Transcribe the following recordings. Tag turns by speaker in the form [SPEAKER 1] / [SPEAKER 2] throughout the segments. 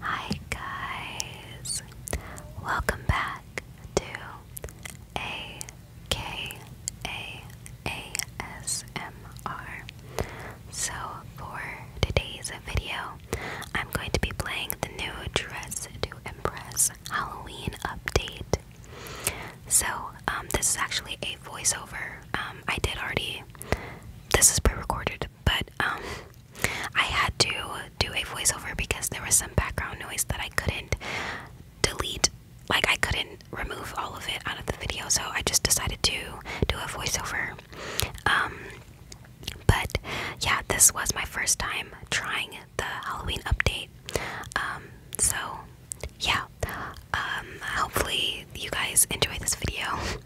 [SPEAKER 1] Hi guys, welcome back to AKAASMR. So for today's video, I'm going to be playing the new Dress to Impress Halloween update. So um, this is actually a voiceover. Um, I did already. This is pre-recorded, but um, I had to do a voiceover because there was some background noise that I couldn't delete. Like I couldn't remove all of it out of the video, so I just decided to do a voiceover. Um, but yeah, this was my first time trying the Halloween update. Um, so yeah. hopefully you guys enjoy this video.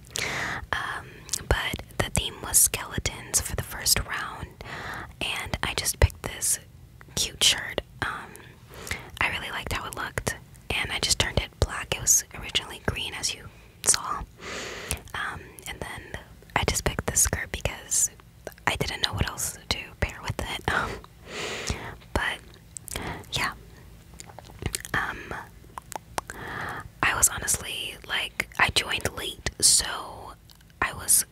[SPEAKER 1] Um, but the theme was skeletons for the first round, and I just picked this cute shirt. Um, I really liked how it looked, and I just turned it black. It was originally green, as you saw, um, and then I just picked this skirt because I didn't know what else to pair with it. but yeah, I was honestly like, I joined late, so I was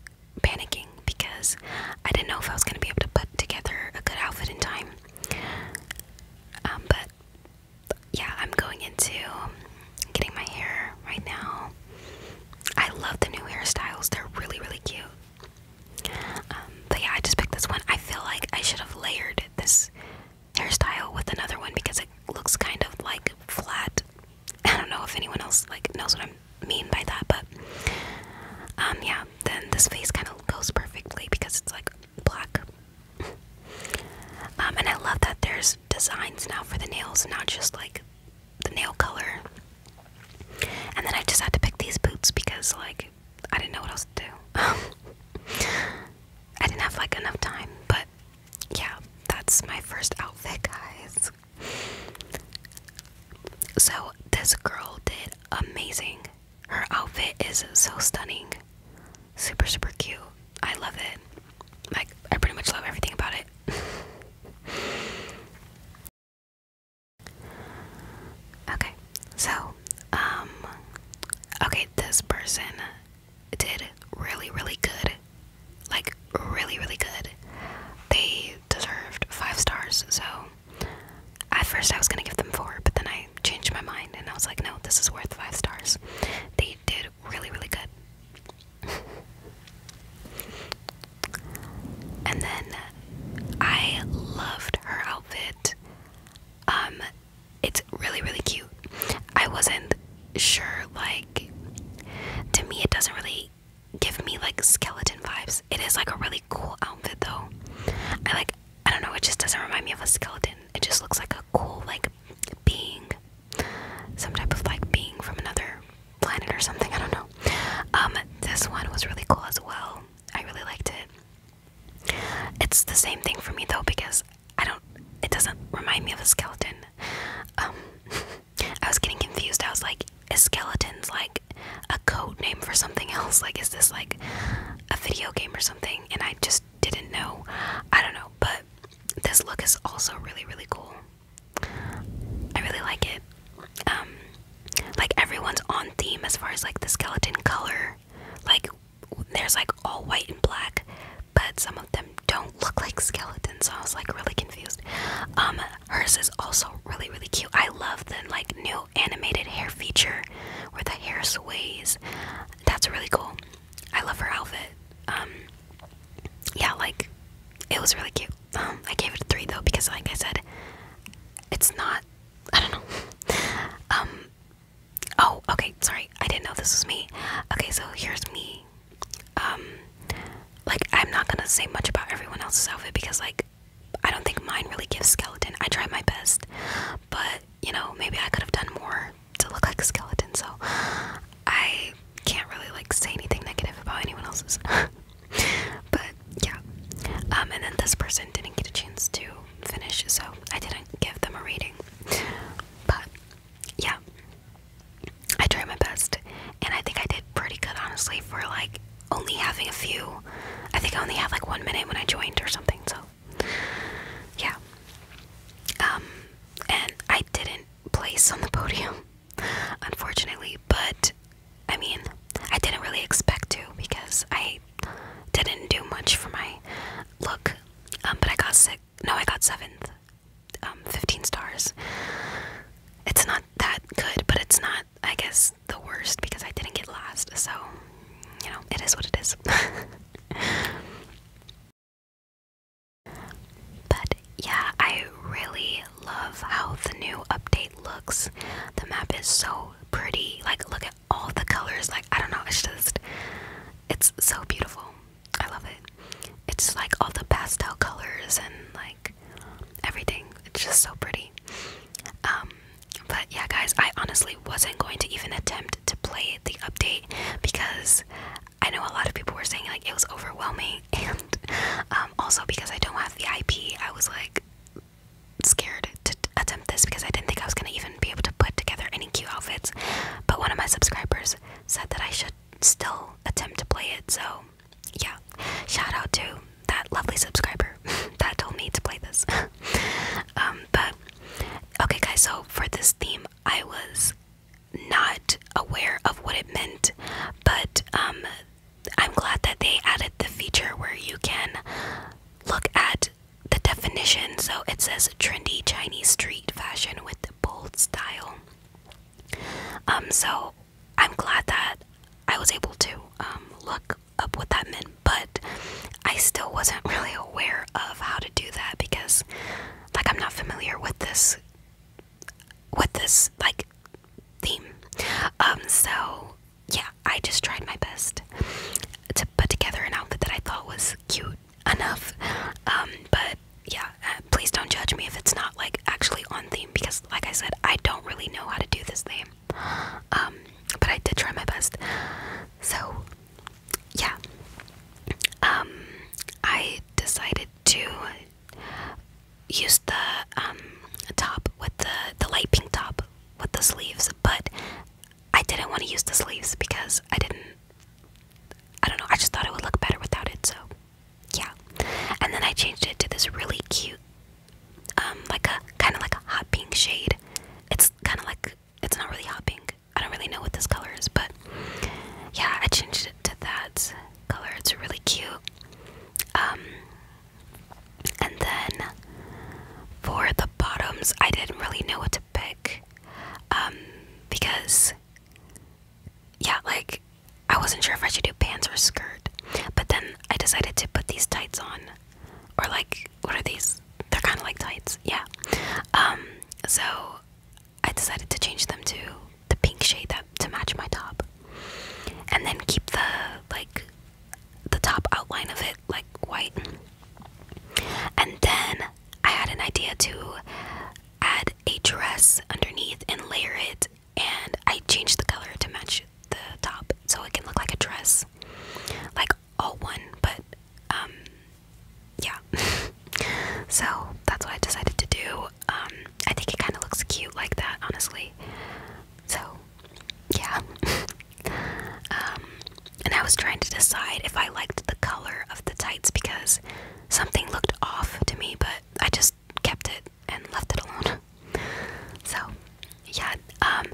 [SPEAKER 1] panicking because I didn't know if I was going to be able to put together a good outfit in time. Um, but yeah, I'm going into getting my hair right now. I love the new hairstyles, they're really, really cute. Um, but yeah, I just picked this one. I feel like I should have layered this hairstyle with another one because it looks kind of like flat. I don't know if anyone else like knows what I mean by that, but um yeah, then this face kind of goes perfectly because it's like black. um and I love that there's designs now for the nails, not just like the nail color. And then I just had to pick these boots because like I didn't know what else to do. I didn't have like enough time, but yeah, that's my first outfit, guys. So, this girl did amazing. Her outfit is so stunning. Super, super cute. I love it. Like, I pretty much love everything about it. okay, so, um, okay, this person did really, really good. Like, really, really good. They deserved five stars, so at first I was gonna give them four, but then I changed my mind and I was like, no, this is worth five stars. They did really, really good. and then I loved her outfit. Um, it's really really cute. I wasn't sure like to me it doesn't really give me like skeleton vibes. It is like a really cool outfit though. I like I don't know, it just doesn't remind me of a skeleton. It just looks like a cool like being some type of like being from another planet or something, I don't know. Um this one was really cool as well. I really liked it. It's the same thing for me though because I don't. It doesn't remind me of a skeleton. Um, I was getting confused. I was like, is skeletons like a code name for something else? Like, is this like a video game or something? And I just didn't know. I don't know. But this look is also really, really cool. I really like it. Um, like everyone's on theme as far as like the skeleton color. Like there's like all white and black, but some of them don't look like skeletons, so I was like really confused. Um, hers is also really, really cute. I love the like new animated hair feature where the hair sways. That's really cool. I love her outfit. Um, yeah, like it was really cute. Um, I gave it three though because, like I said, it's not. I don't know. um, Oh, okay, sorry. I didn't know this was me. Okay, so here's me. Um like I'm not going to say much about everyone else's outfit because like I don't think mine really gives skeleton. I tried my best, but you know, maybe I could have done more to look like a skeleton. So I can't really like say anything negative about anyone else's. but yeah. Um and then this person didn't get a chance to finish, so I didn't give them a reading. But yeah, I tried my best, and I think I did pretty good, honestly, for like only having a few. I think I only had like one minute when I joined or something, so yeah. Um, and I didn't place on the podium, unfortunately, but I mean, I didn't really expect to because I didn't do much for my look, um, but I got sick no, I got seventh. Um, 15 stars. It's not that good, but it's not, I guess, the worst because I didn't get last. So, you know, it is what it is. but yeah, I really love how the new update looks. The map is so pretty. Like, look at all the colors. Like, I don't know, it's just, it's so beautiful. I love it. It's like all the pastel colors and like everything. It's just so pretty. Um, but yeah, guys, I honestly wasn't going to even attempt to play the update because I know a lot of people were saying like it was overwhelming, and um, also because I don't have the IP, I was like scared to attempt this because I didn't think I was gonna even be able to put together any Thank you outfits, but one of my subscribers said that I should still attempt to play it. So, yeah, shout out to that lovely subscriber that told me to play this. Um, but okay, guys, so for this theme, I was not aware of what it meant, but um, I'm glad that they added the feature where you can look at the definition. So it says trendy Chinese street fashion with bold style. Um, so I'm glad that I was able to um, look up what that meant, but I still wasn't really aware of how to do that because, like, I'm not familiar with this, with this like theme. Um, so yeah, I just tried my best to put together an outfit that I thought was cute enough. Um, but yeah, uh, please don't judge me if it's not like actually on theme because, like I said, I don't really know how to do this thing. Um, but I did try my best. So yeah, um, I decided to use the top with the the light pink top with the sleeves, but I didn't want to use the sleeves because I didn't I don't know, I just thought it would look better without it, so yeah. And then I changed it to this really cute, um, like a kind of like a hot pink shade. It's kind of like it's not really hot pink. I don't really know what this color is, but yeah, I changed it to that color. It's really cute. Um, and then for the bottoms, I didn't really know what to pick um, because yeah like I wasn't sure if I should do pants or skirt but then I decided to put these tights on or like what are these they're kind of like tights yeah um, so I decided to change them to the pink shade that to match my top and then keep the like the top outline of it like white and then I had an idea to add a dress underneath and layer it, and I changed the color to match the top so it can look like a dress, like all one, but um, yeah. so that's what I decided to do. Um, I think it kind of looks cute like that, honestly. So, yeah. Um, and I was trying to decide if I liked the color of the tights because something looked off to me, but I just kept it and left it alone. so, yeah, um,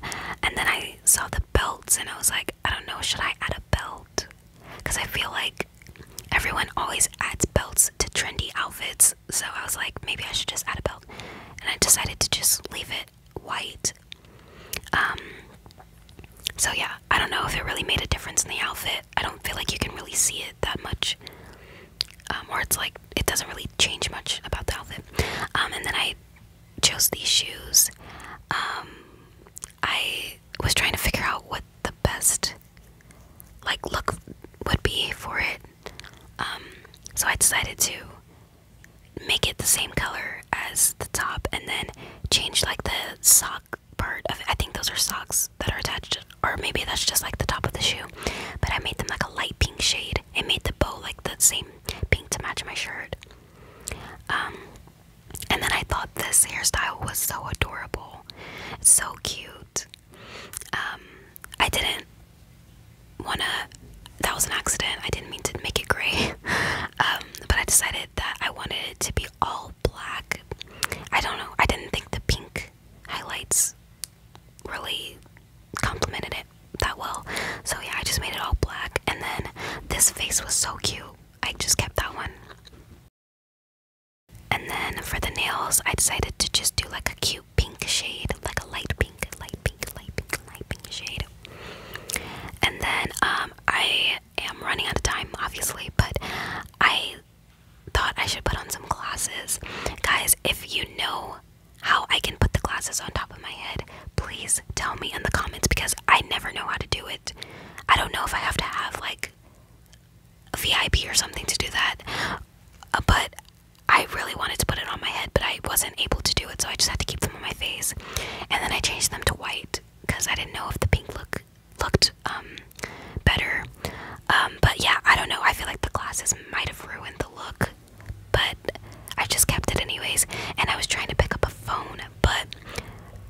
[SPEAKER 1] and then I saw the belts and I was like, I don't know, should I add a belt? Because I feel like everyone always adds belts to trendy outfits, so I was like, maybe I should just add a belt. And I decided to just leave it white um, so yeah, I don't know if it really made a difference in the outfit. I don't feel like you can really see it that much, um, or it's like it doesn't really change much about the outfit. Um, and then I chose these shoes. I was trying to figure out what the best like look would be for it. so I decided to make it the same color as the top and then change like the sock part of I think those are socks that are attached, or maybe that's just like the top of the shoe. But I made them like a light pink shade. I made the bow like the same pink to match my shirt. Um, and then I thought this hairstyle was so adorable, so cute. Um, I didn't wanna. That was an accident. I didn't mean to make it gray, um, but I decided that I wanted it to be the all black. I don't know. I didn't think the pink highlights really complemented it that well. So yeah, I just made it all black. And then this face was so cute. I just kept that one. And then for the nails, I decided to just do like a cute pink shade, like a light pink, light pink, light pink, light pink shade. And then um, I am running out of time, obviously, but I thought I should put on some glasses. Guys, if you know how I can put the glasses on top of my head, please tell me in the comments because I never know how to do it. I don't know if I have to have like a VIP or something to do that, uh, but I really wanted to put it on my head, but I wasn't able to do it, so I just had to keep them on my face. And then I changed them to white because I didn't know if the pink look looked um, better. Um, but yeah, I don't know. I feel like the glasses might have ruined the look, but I just kept it anyways. And I was trying to pick up a phone, but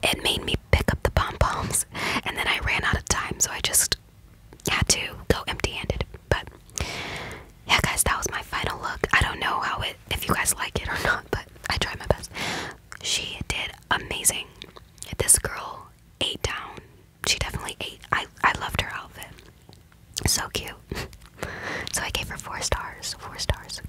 [SPEAKER 1] it made me pick up the pom poms, and then I ran out of time, so I just had to go empty handed. But yeah, guys, that was my final look. I don't know how it, if you guys like it or not, but I tried my best. She did amazing. This girl ate down. She definitely ate. I, I loved her outfit. So cute. so I gave her four stars. Four stars.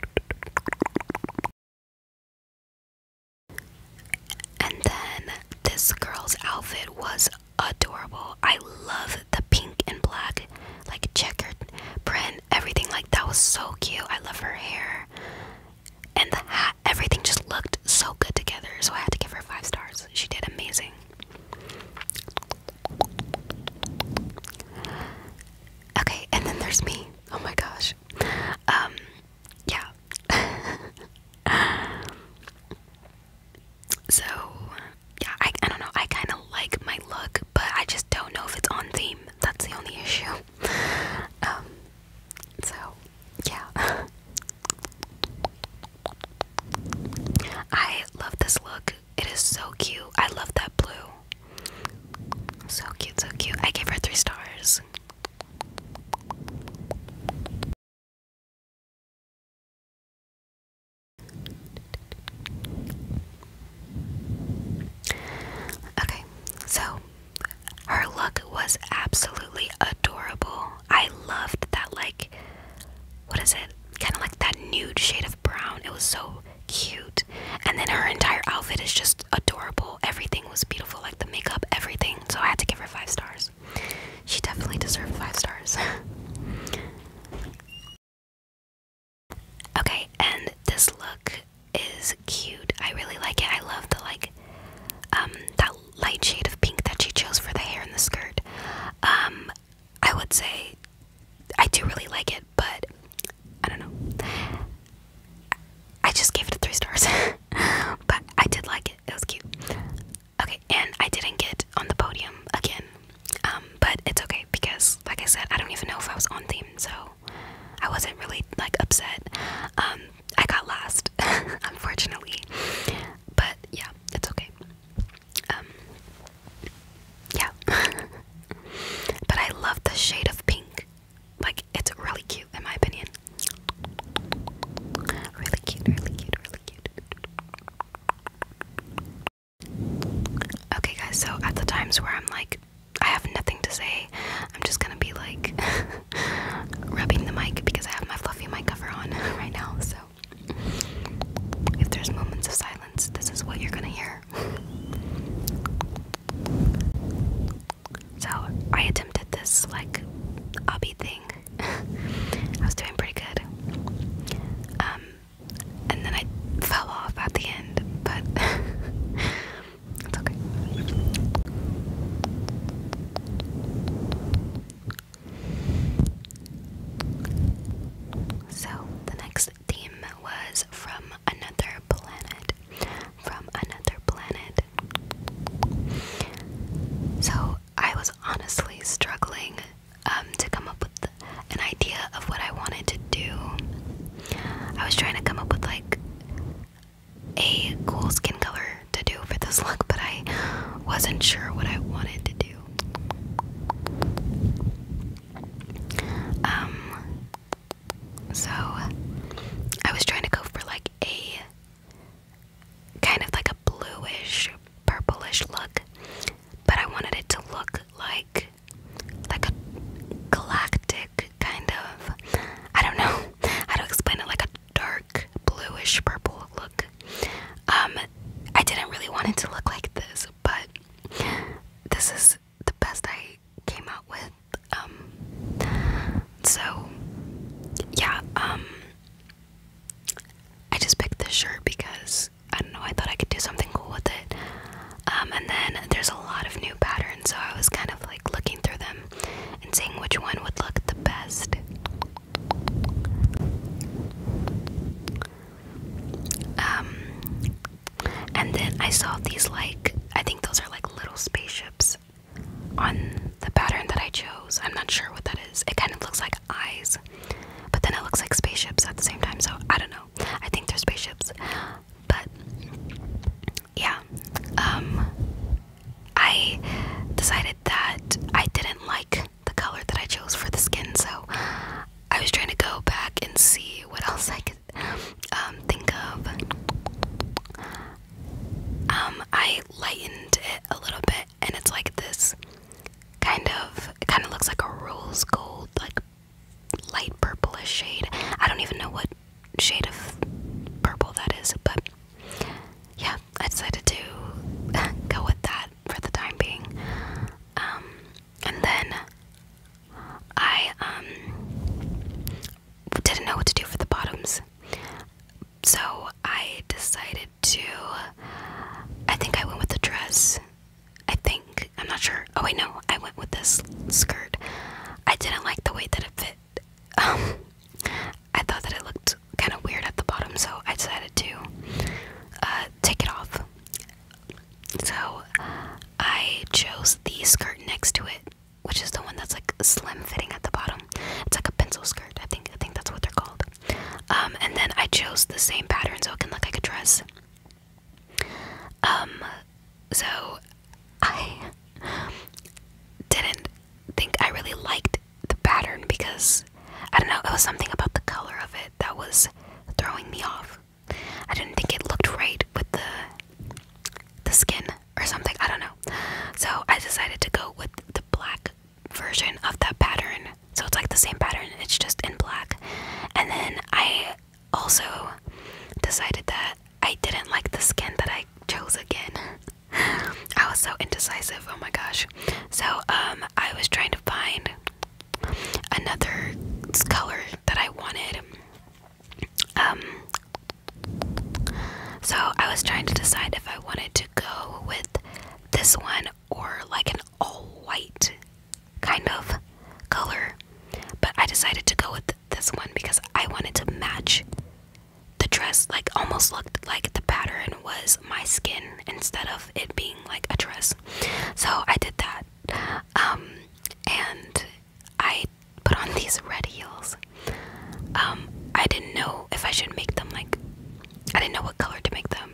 [SPEAKER 1] And then this girl's outfit was adorable. I love the pink and black, like checkered print, everything like that was so cute. I love her hair and the hat, everything just looked so good together. So I had to give her five stars. She did amazing. Okay, and then there's me. Oh my gosh. Um, yeah. so, yeah, I, I don't know. I kind of like my look, but I just don't know if it's on theme. That's the only issue. Um, so yeah. I love this look. It is so cute. I love that blue. So cute, so cute. I gave her three stars. Okay, so her look was absolutely adorable. I loved that, like, what is it? Kind of like that nude shade of brown. It was so cute. And then her entire outfit is just adorable. Everything was beautiful, like the makeup, everything. So I had to give her five stars. She definitely deserved five stars. okay, and this look is cute. I really like it. I love the like um, that light shade of pink that she chose for the hair and the skirt. Um, I would say I do really like it, but I don't know. I just gave it three stars. but I did like it. It was cute. Okay, and I didn't get on the podium again. Um, but it's okay because like I said, I don't even know if I was on theme, so I wasn't really like upset. Um, I got last, unfortunately, but yeah, it's okay. Um, yeah, but I love the shade of pink. Like it's really cute, in my opinion. Really cute, really cute, really cute. Okay, guys. So at the times where I'm like I have nothing to say. I'm just gonna be like rubbing the mic because I have my fluffy mic cover on right now. So, if there's moments of silence, this is what you're gonna hear. So, I attempted this like hobby thing. I was doing pretty good. Um, and then I fell off at the end, but it's okay. So, the next theme was from another planet. From another planet. So, I was honestly struggling um, to come up with an idea of what I wanted to do. I was trying to come up with like a cool skin color to do for this look, but I wasn't sure what I wanted to do. Um, so I was trying to go for like a kind of like a bluish, purplish look, but I wanted it to look like like a galactic kind of I don't know how to explain it like a dark bluish purple look. Um I didn't really want it to look like this, but this is the best I came out with. Um so yeah, um I just picked this shirt because I don't know, I thought I could do something cool with it. Um, and then there's a lot of new patterns, so I was kind of like looking through them and seeing which one would look the best. Um, and then I saw these like, I think those are like little spaceships on the pattern that I chose. I'm not sure what that is. It kind of looks like eyes, but then it looks like spaceships at the same time, so I don't know. I think they're spaceships, but yeah, um, I decided that I didn't like the color that I chose for the skin, so I was trying to go back and see what else I could um, think of. Um, I lightened it a little bit, and it's like this kind of, kind of looks like a rose gold, like light purplish shade. I don't even know what shade of purple that is, but yeah, I decided to go with that for the time being. Um, and then I um, didn't know what to do for the bottoms, so I decided to. I think I went with the dress. I think I'm not sure. Oh wait, no, I went with this skirt. I didn't like the way that it fit. Um, I thought that it looked kind of weird at the bottom, so I decided to uh, take it off. So I chose the skirt next to it, which is the one that's like slim fitting at the bottom. It's like a pencil skirt, I think. I think that's what they're called. Um, and then I chose the same pattern so it can look like a dress. Um, so I didn't think I really liked the pattern because I don't know, it was something about the color of it that was throwing me off. I didn't think it looked right with the the skin or something, I don't know. So I decided to go with the black version of that pattern. So it's like the same pattern, it's just in black. And then I also decided that I didn't like the skin that I chose again. I was so indecisive. Oh my gosh. So, um, I was trying to find another color that I wanted. Um, so I was trying to decide if I wanted to go with this one or like an all white kind of color, but I decided to go with this one because I wanted to match the dress like almost looked like the pattern was my skin instead of it being like a dress. So I did that. Um, and I put on these red heels. Um, I didn't know if I should make them like I didn't know what color to make them.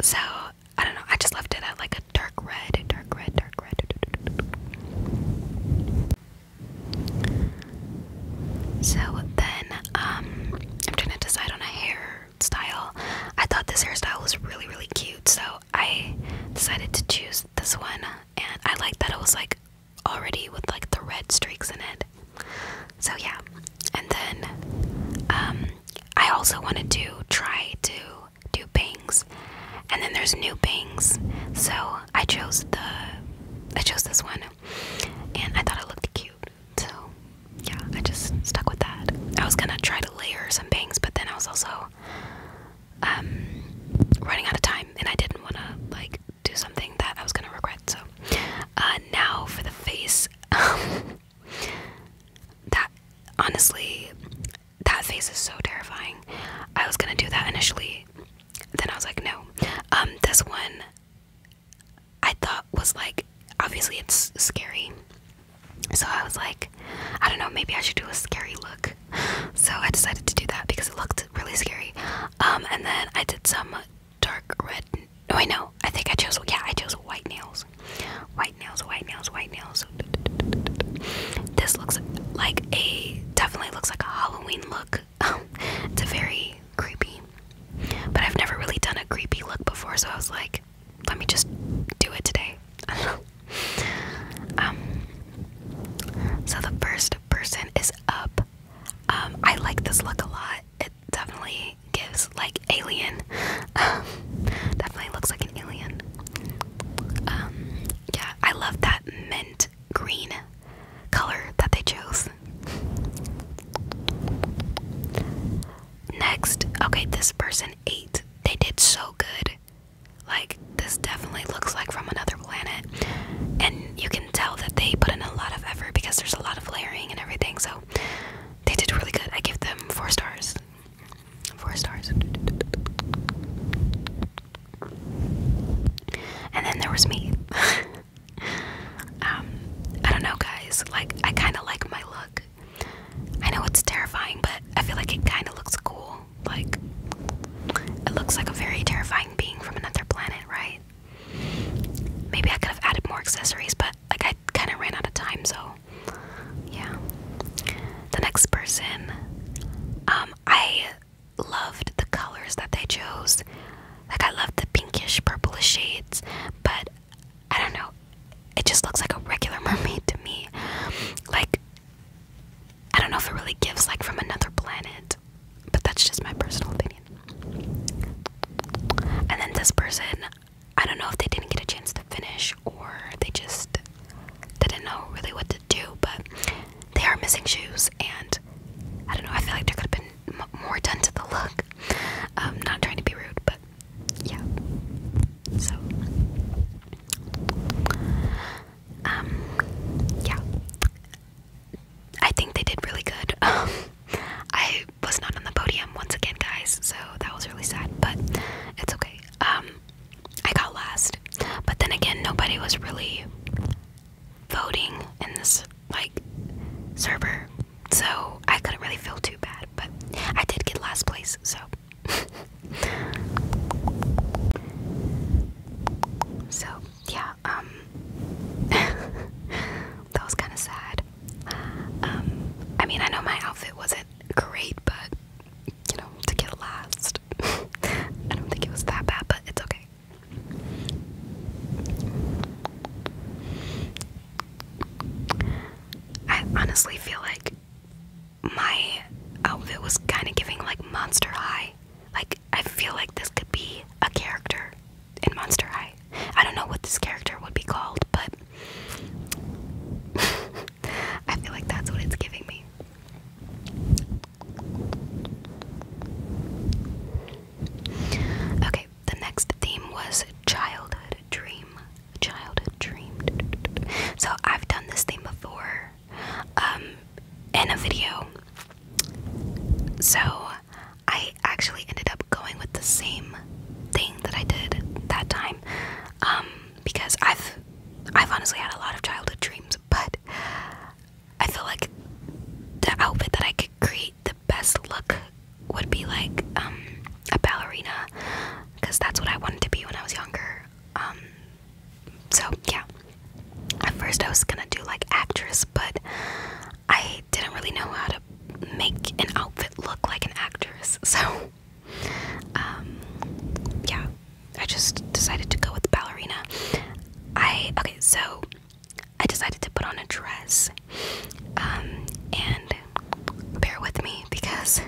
[SPEAKER 1] So I don't know, I just left it at like a dark red, dark red, dark red. So then, um, I'm trying to decide on a hairstyle. I thought this hairstyle was really, really cute, so I decided to choose this one. And I liked that it was like already with like the red streaks in it. So yeah. And then, um, I also wanted to try to do bangs, and then there's new bangs. So I chose the I chose this one, and I thought it looked cute. So yeah, I just stuck with that. I was gonna try to layer some bangs, but then I was also um, running out of time, and I didn't want to like do something that I was gonna regret. So uh, now for the face. Um, that honestly that face is so terrifying. I was gonna do that initially, then I was like, no. Um, this one I thought was like obviously it's scary, so I was like, I don't know, maybe I should do a scary look. So I decided to do that because it looked really scary. Um, and then I did some dark red. No, I know. I think I chose. Yeah, I chose white nails. White nails. White nails. White nails this looks like a definitely looks like a Halloween look. it's a very creepy. But I've never really done a creepy look before, so I was like, let me just do it today. Um so the first person is up. Um I like this look a lot. It definitely gives like alien. definitely looks like an alien. Um, yeah, I love that mint green color that they chose. Next, okay, this person ate. They did so good. Like, this definitely looks like from another planet. And you can tell that they put in a lot of effort because there's a lot of layering and everything. So, they did really good. I give them four stars. Four stars. And then there was me. um, I don't know, guys. Like, I kind of like my look. I know it's terrifying, but I feel like it kind of looks cool. Like, it looks like a very terrifying being from another planet, right? Maybe I could have added more accessories, but like, I kind of ran out of time, so yeah. The next person, um, um, I loved the colors that they chose. Like I loved the pinkish purplish shades, but I don't know. It just looks like a regular mermaid to me. Like I don't know if it really gives like from another planet, but that's just my personal opinion. And then this person, I don't know if they didn't get a chance to finish or they just didn't know really what to do, but they are missing shoes, and I don't know. I feel like there could have been m more done to the look. I'm um, not trying to be rude, but yeah. So, um, yeah. I think they did really good. Um, I was not on the podium once again, guys, so that was really sad, but it's okay. Um, I got last. But then again, nobody was really voting in this like server. So I couldn't really feel too bad, but I did get last place, so So, yeah, um that was kind of sad. Um I mean, I know my outfit wasn't great, but you know, to get last I don't think it was that bad, but it's okay. I honestly feel like my outfit was kind of giving like Monster High. Like, I feel like this could be a character in Monster High. I don't know what this character would be called, but I feel like that's what it's giving me. Okay, the next theme was childhood dream. Childhood dream. So I've done this theme before um, in a video. So I actually ended up going with the same thing that I did that time um, because I've I've honestly had a lot of childhood dreams, but I feel like the outfit that I could create the best look would be like um, a ballerina, because that's what I wanted to be when I was younger. Um, so yeah, at first I was gonna do like actress, but I didn't really know how to make an outfit look like an actress, so um, yeah, I just decided to go with the ballerina. I okay, so I decided to put on a dress. Um, and bear with me because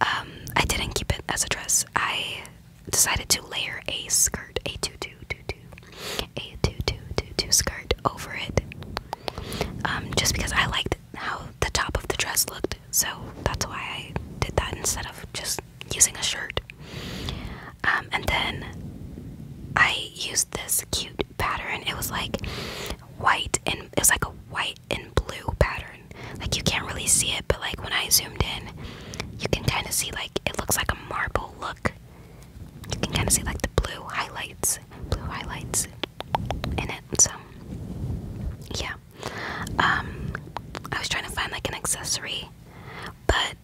[SPEAKER 1] um, I didn't keep it as a dress. I decided to layer a skirt, a tutu, tutu, a tutu, tutu skirt over it. just because I liked how the top of the dress looked so that's why I did that instead of just using a shirt. Um, and then I used this cute pattern. It was like white and it was like a white and blue pattern. Like you can't really see it, but like when I zoomed in, you can kind of see like it looks like a marble look. You can kind of see like the blue highlights, blue highlights in it. So yeah, um, I was trying to find like an accessory, but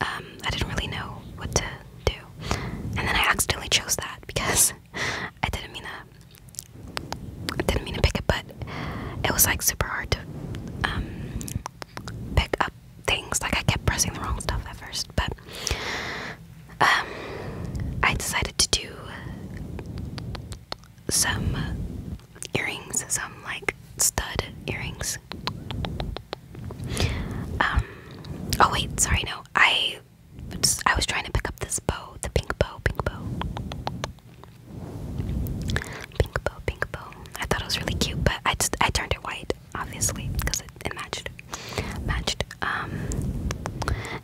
[SPEAKER 1] um, I didn't really know what to do. And then I accidentally chose that because I didn't mean to. I didn't mean to pick it, but it was like super hard to um, pick up things. Like I kept pressing the wrong stuff at first, but I decided to do some earrings, some like stud earrings. Um. Oh wait, sorry. No, I. Just, I was trying to pick up this bow, the pink bow, pink bow, pink bow, pink bow. I thought it was really cute, but I just I turned it white, obviously, because it, it matched, matched. Um.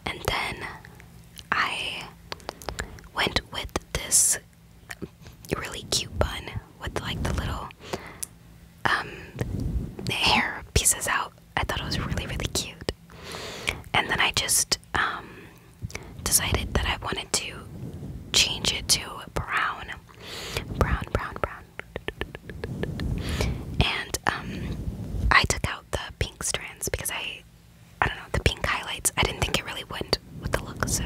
[SPEAKER 1] And then I went with this really cute bun with like the little um, hair pieces out. I thought it was really, really cute. And then I just um, decided that I wanted to change it to brown. Brown, brown, brown. And um, I took out the pink strands because I I don't know, the pink highlights. I didn't think it really went with the look, so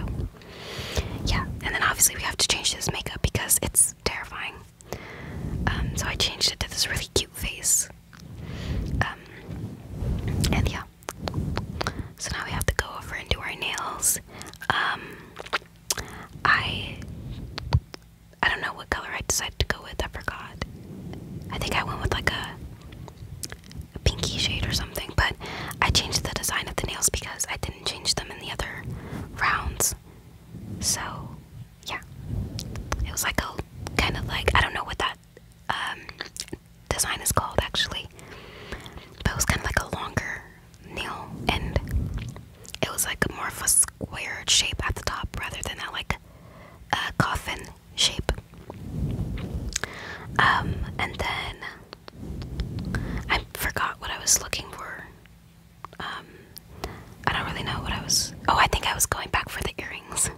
[SPEAKER 1] yeah. And then obviously we have to change this makeup because it's terrifying. Um, so I changed it to this really cute face. Um, and yeah. So now we have to go over and do our nails. Um, I I don't know what color I decided to go with. I forgot. I think I went with like a a pinky shade or something, but I changed the design of the nails because I didn't change them in the other rounds. So, yeah. It was like a kind of like, I don't know what that um, design is called actually, but it was kind of like a longer nail and it was like more of a squared shape at the top rather than that like a uh, coffin shape. Um, and then I forgot what I was looking for. Um, I don't really know what I was. Oh, I think I was going back for the earrings.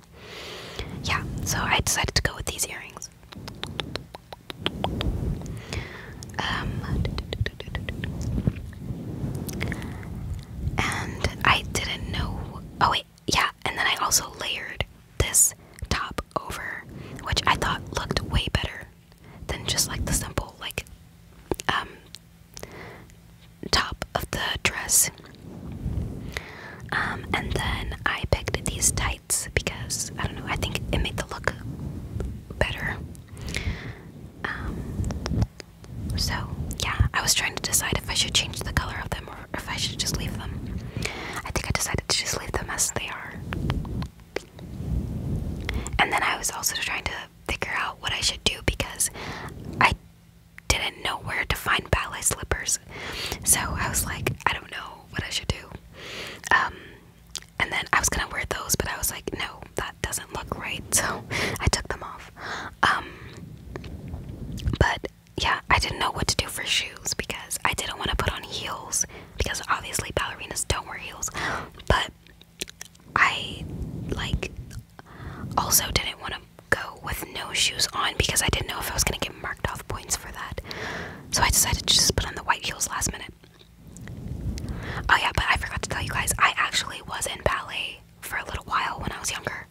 [SPEAKER 1] Yeah, so I decided to go with these earrings. Um, and I didn't know. Oh, wait, yeah, and then I also layered this top over, which I thought looked way better than just like the simple like um top of the dress. Um, and then I picked these tights because I don't know, I think it made the look better. Um, so yeah, I was trying to decide if I should change the color of them or if I should just leave them. I think I decided to just leave them as they are. And then I was also trying to figure out what I should do because I didn't know where to find ballet slippers. So I was like, I don't know what I should do. Um, and then I was gonna wear those, but I was like, no, that doesn't look right. So I took them off. Um, but yeah, I didn't know what to do for shoes because I didn't want to put on heels because obviously ballerinas don't wear heels. But I like also didn't want to go with no shoes on because I didn't know if I was going to get marked off points for that. So I decided to just put on the white heels last minute. Oh yeah, but I forgot to tell you guys, I actually was in ballet for a little while when I was younger.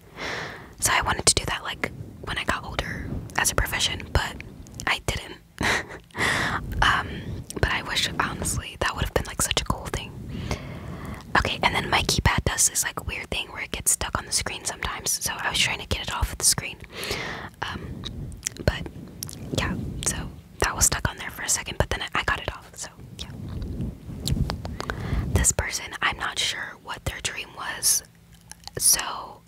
[SPEAKER 1] So I wanted to do that like when I got older as a profession, but I didn't. Um, but I wish honestly that would have been like such a cool thing. Okay, and then my keypad does this like weird thing where it gets stuck on the screen sometimes. So I was trying to get it off of the screen. Um, but yeah, so that was stuck on there for a second, but then I got it off. So yeah. This person, I'm not sure what their dream was so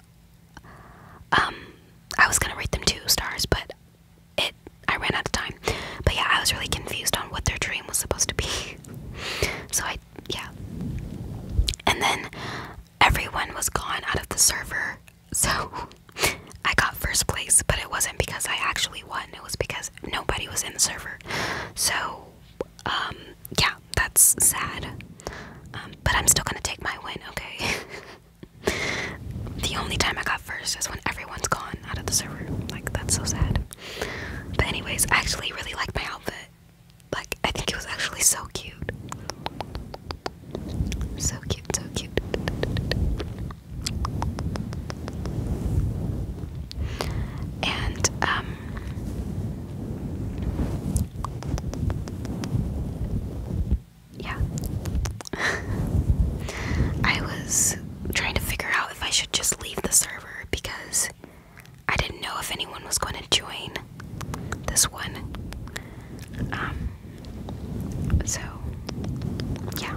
[SPEAKER 1] um I was gonna rate them two stars, but it I ran out of time. But yeah, I was really confused on what their dream was supposed to be. so I yeah. And then everyone was gone out of the server, so I got first place, but it wasn't because I actually won. It was because nobody was in the server. So um yeah, that's sad. Um, but I'm still gonna take my win, okay? the only time I got first is when everyone's gone out of the server. Like, that's so sad. But, anyways, actually really liked my outfit. Like, I think it was actually so cute. So cute, so cute. And, um, yeah. I was trying to figure out if I should just leave the server because I didn't know if anyone was going to join this one. Um, so, yeah.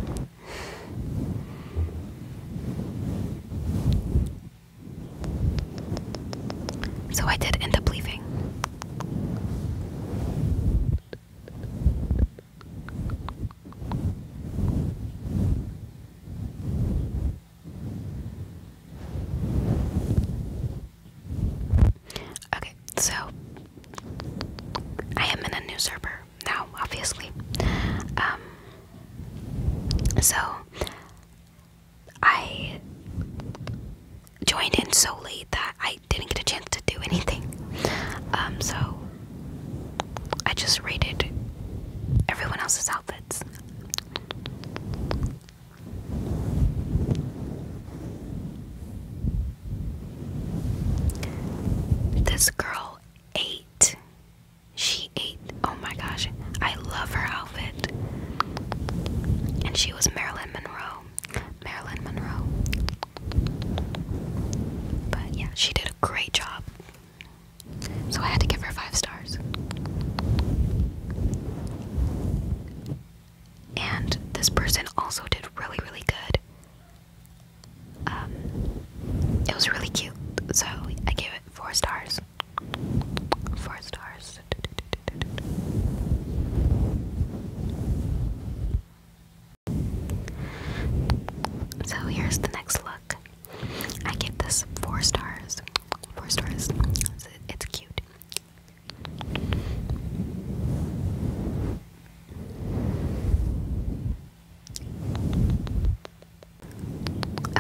[SPEAKER 1] So I did end up leaving. Okay, so I am in a new server now, obviously. Um, so I joined in so late that I didn't get a chance to do anything. Um, so I just rated everyone else's outfits. This girl ate. She ate Oh my gosh, I love her outfit. And she was Marilyn Monroe. Marilyn Monroe. But yeah, she did a great job. So I had to give her five stars. And this person also did really, really good. Um, it was really cute, so I gave it four stars. Four stars. So here's the next look. I give this four stars. Four stars. it's cute.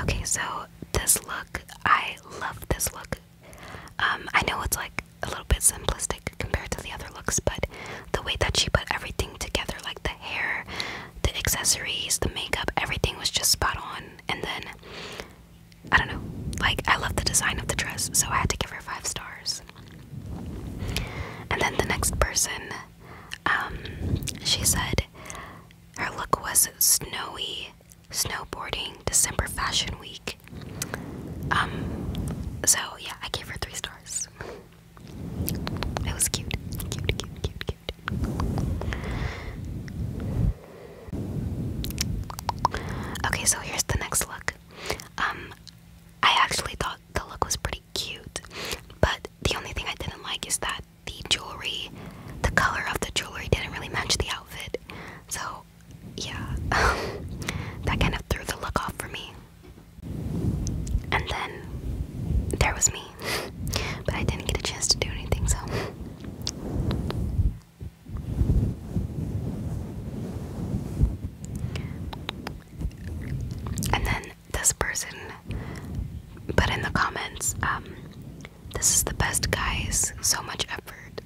[SPEAKER 1] Okay, so this look, I love this look. Um, I know it's like a little bit simplistic compared to the other looks, but the way that she put everything together, like the hair, the accessories, the makeup, everything was just spot on. And then, I don't know, like I love the design of the dress, so I had to give her five stars. And then the next person, um, she said her look was snowy, snowboarding December Fashion Week. Um, so yeah, I gave her three stars. It was cute, cute, cute, cute, cute. Okay, so here's the next look. Um, I actually thought the look was pretty cute, but the only thing I didn't like is that the jewelry, the color of the jewelry didn't really match the outfit. So, yeah, that kind of threw the look off for me. And then there was me, but I didn't get a chance to do anything, so. And then this person put in the comments, um, this is the best, guys. So much effort.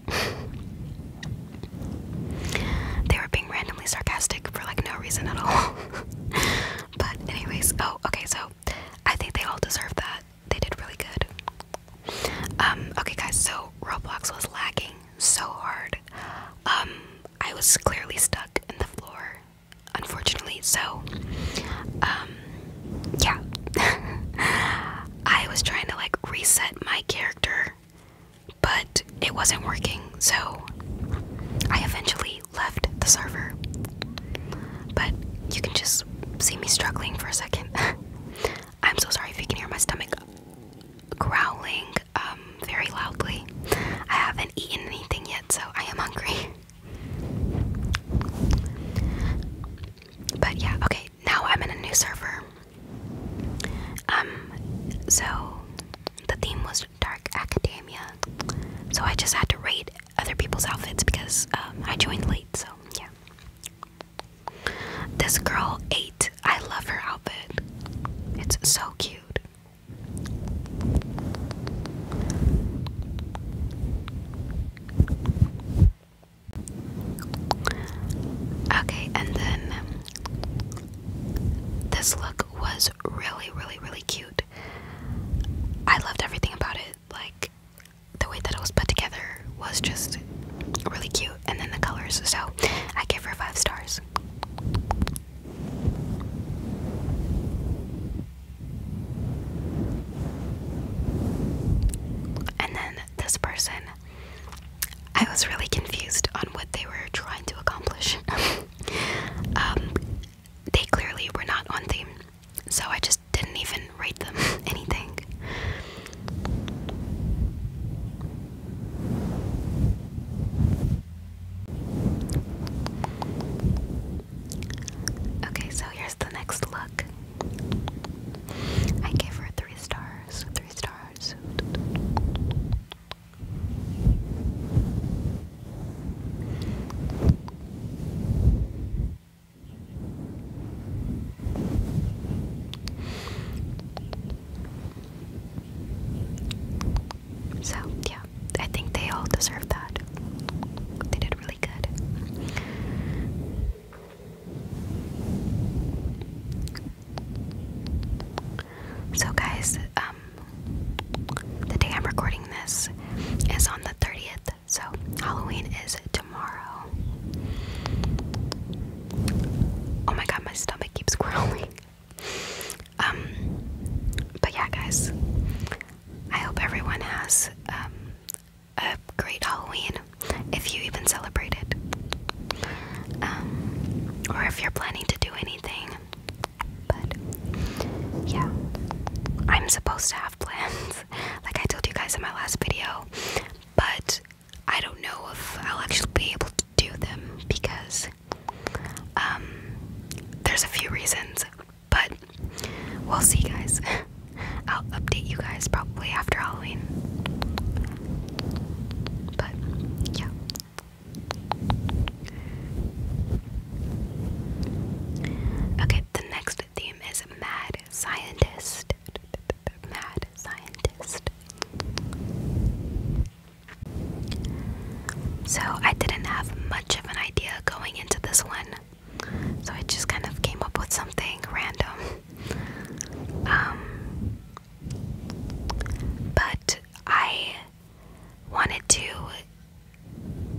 [SPEAKER 1] they were being randomly sarcastic for like no reason at all. but, anyways, oh, okay, so I think they all deserve that. They did really good. Um, okay, guys, so Roblox was lagging so hard. Um, I was clearly stuck in the floor, unfortunately, so, um, yeah. I was trying to like reset my character, but it wasn't working, so I eventually left the server. But you can just see me struggling for a second. I'm so sorry if you can hear my stomach growling um, very loudly. I haven't eaten anything yet, so I am hungry. But yeah, okay, now I'm in a new server. Um, so the theme was Dark Academia. So I just had to rate other people's outfits because um, I joined late, so yeah. This girl ate. I love her outfit. It's so cute. Okay, and then this look was really, really, really cute. I loved everything about it. Like, the way that it was put together was just really cute, and then the colors. So, I give her five stars. And then this person, I was really confused on what they were trying to accomplish. um, they clearly were not on theme, so I just didn't even write them anything. Okay, so here's the next look. I gave her three stars. Three stars. So, yeah, I think they all deserve that. They did really good. So, guys, um, the day I'm recording this is on the 30th, so Halloween is tomorrow. Oh my god, my stomach keeps growling. Um, but yeah, guys, I hope everyone has um, a great Halloween if you even celebrate it. Um, or if you're planning to do anything. But yeah, I'm supposed to have plans, like I told you guys in my last video, but I don't know if I'll actually be able to do them because um, there's a few reasons. But we'll see, guys. I'll update you guys probably after Halloween. But, yeah. Okay, the next theme is Mad Scientist. Mad Scientist. So, I didn't have much of an idea going into this one. So I just kind of came up with something random. Um, but I wanted to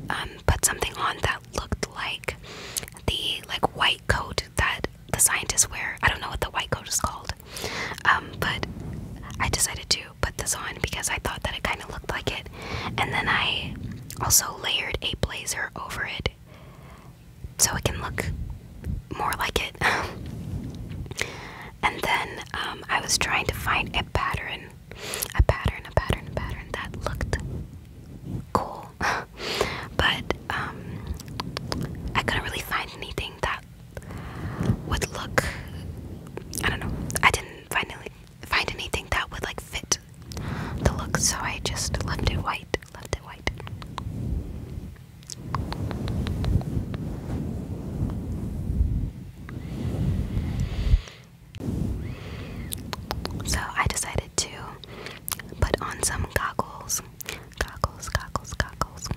[SPEAKER 1] um, put something on that looked like the like white coat that the scientists wear. I don't know what the white coat is called, um, but I decided to put this on because I thought that it kind of looked like it. And then I also layered a blazer over it so it can look more like it. and then um, I was trying to find a pattern, a pattern, a pattern, a pattern that looked cool, but um, I couldn't really find anything that would look. I don't know. I didn't find any, find anything that would like fit the look, so I just left it white, left it white. So I decided to put on some goggles. Goggles, goggles, goggles.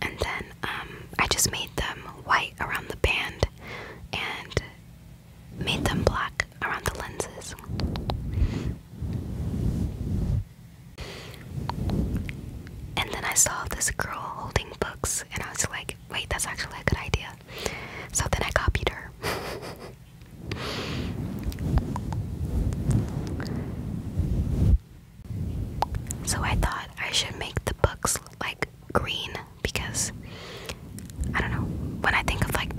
[SPEAKER 1] And then um, I just made them white around the band and made them black around the lenses. And then I saw this girl holding books, and I was like, wait, that's actually a good idea. So then I copied her. so I thought I should make the books like green because I don't know. When I think of like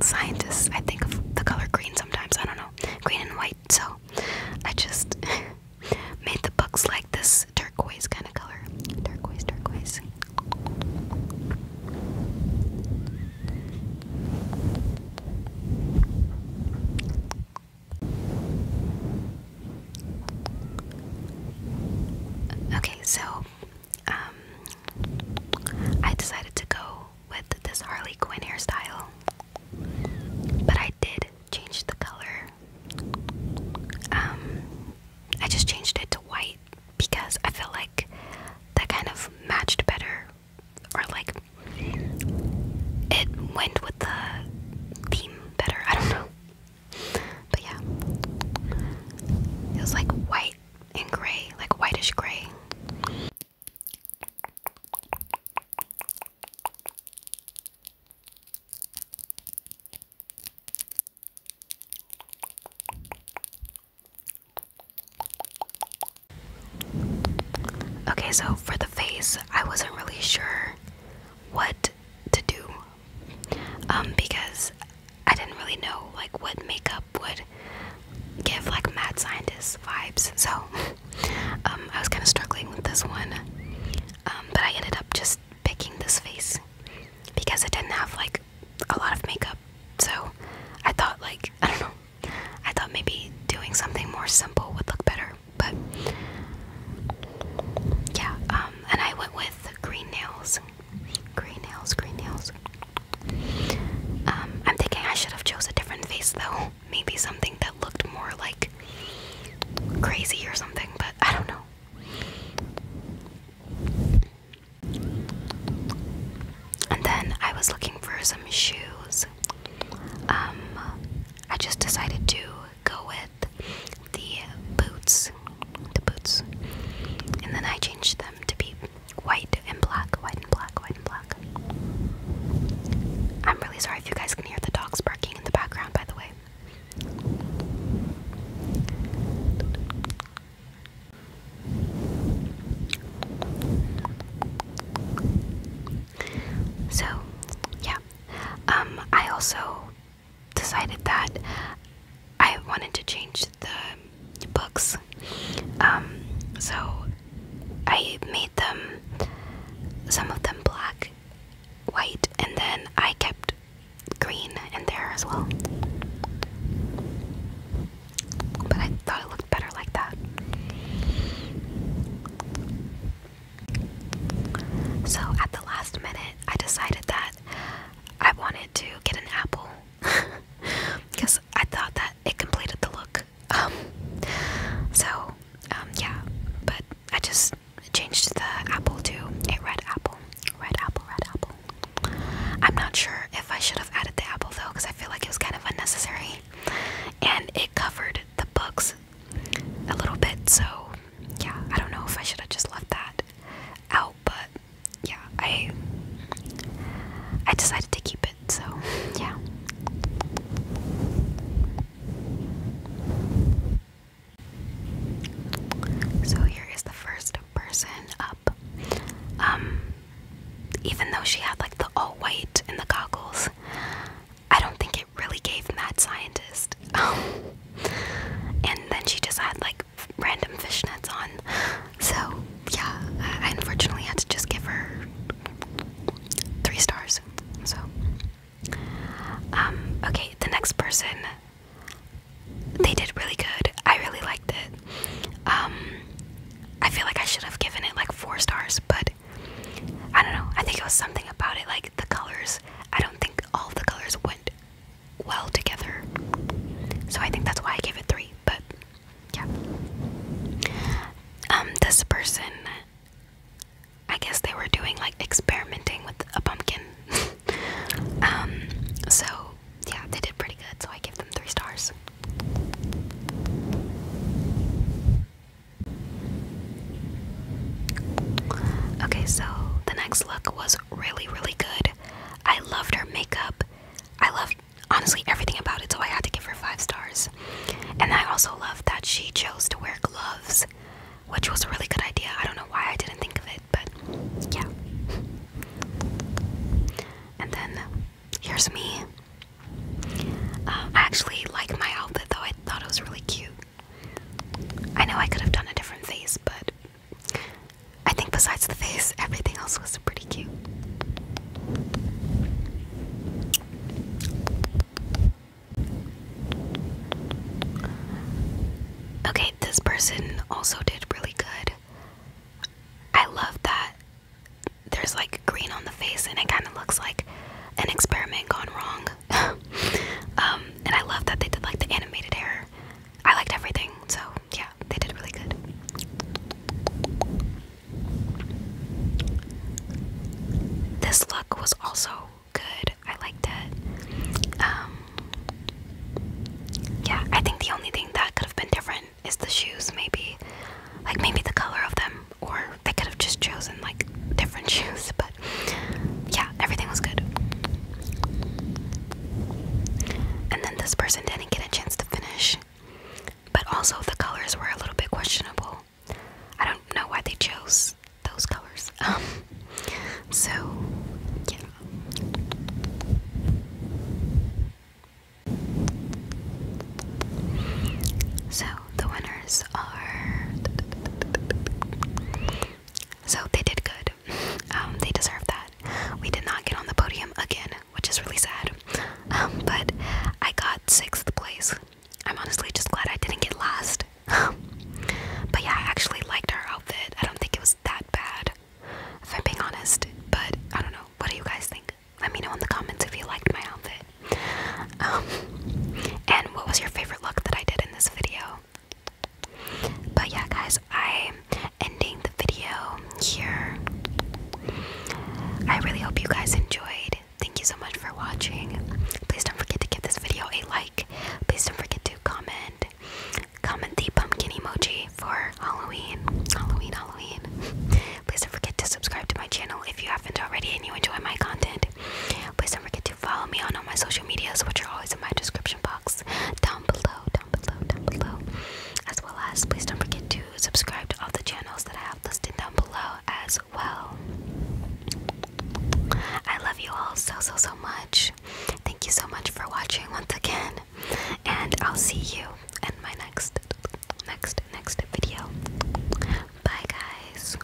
[SPEAKER 1] scientists, I think of the color green sometimes. I don't know. Green and white. So I just made the books like this turquoise kind of color. Turquoise, turquoise. Okay, so um, I decided to go with this Harley Quinn hairstyle, but I did change the color. Um, I just changed it to white because I feel like that kind of matched better, or like it went with the theme better. I don't know. But yeah, it was like white and gray, like whitish gray. Okay, so for the face, I wasn't really sure what to do um, because I didn't really know like what makeup would give like mad scientist vibes. So um, I was kind of struggling with this one, um, but I ended up just picking this face because it didn't have like a lot of makeup. So I thought like I don't know, I thought maybe doing something more simple would look better. But yeah, and I went with green nails. Green nails, green nails. Um, I'm thinking I should have chose a different face though. Maybe something that looked more like crazy or something, but I don't know. And then I was looking for some shoes. Um, I just decided to go with the boots, the boots, and then I changed them to be white and black, white and black, white and black. I'm really sorry if you guys can hear the dogs barking in the background, by the way. So, yeah. Um, I also decided that I wanted to change the books. Um, so I made them, some of them black, white, and then I kept green in there as well. But I thought it looked better like that. So at the last minute, I decided that I wanted to get an apple because I thought that it completed the look. Um, so, um, yeah, but I just changed the apple to a red apple. Red apple, red apple. I'm not sure if I should have added the apple though because I feel like it was kind of unnecessary and it covered the books a little bit, so yeah, I don't know if I should have just left that that out, but yeah, I I decided to keep it, so yeah. So here is the first person up. Um even though she had like the all white and the goggles, I don't think it really gave mad scientist um, and then she just had like random fishnets on. So, yeah, I unfortunately had to just give her three stars. So, um, okay, the next person, they did really good. I really liked it. Um, I feel like I should have given it like four stars, but I don't know. I think it was something about it, like the colors. I don't think all the colors went well together. So I think that's why I gave it three, but yeah. Um, this person, I guess they were doing like experimenting with a pumpkin. um, so yeah, they did pretty good, so I give them three stars. Okay, so the next look was really, really good. I loved her makeup. I loved honestly everything about it, so I had to give her five stars. And I also loved that she chose to wear gloves, which was a really good idea. I don't know why I didn't think of it, but yeah. And then here's me. Uh, I actually like my outfit though, I thought it was really cute. I know I could have done a different face, but I think besides the face, everything else was pretty cute. Okay, this person also did really good. I love that there's like green on the face and it kind of looks like an experiment gone wrong Um, and I love that they did like the animated hair. I liked everything, so yeah, they did really good. This look was also good. I liked it. Um, yeah, I think the only thing that could have been different is the shoes, maybe. Like maybe the color of them, or they could have just chosen like different shoes, but yeah, everything was good. And then this person didn't get a chance to finish, but also the colors were a little bit questionable. I don't know why they chose those colors. Um, so, yeah. So the winners are so they did good. Um, they deserved that. We did not get on the podium again, which is really sad. Um, but I got sixth place. I'm honestly just glad I didn't get last. Um, but yeah, I actually liked our outfit. I don't think it was that bad, if I'm being honest. But I don't know. What do you guys think? Let me know in the comments if you liked my outfit. and what was your favorite look that I did in this video? But yeah, guys, I'm ending the video here. I really hope you guys enjoyed. Thank you so much for watching. Please don't forget to give this video a like. Please don't forget to comment. Comment the pumpkin emoji for Halloween. Halloween, Halloween. Please don't forget to subscribe to my channel if you haven't already and you enjoy my content. Please don't forget to follow me on all my social medias, which are always in my description box down below, down below, down below. As well as, please don't forget to subscribe to all the channels that I have listed down below as well. I love you all so, so, so much. Thank you so much for watching once again, and I'll see you in my next, next, next video. Bye, guys.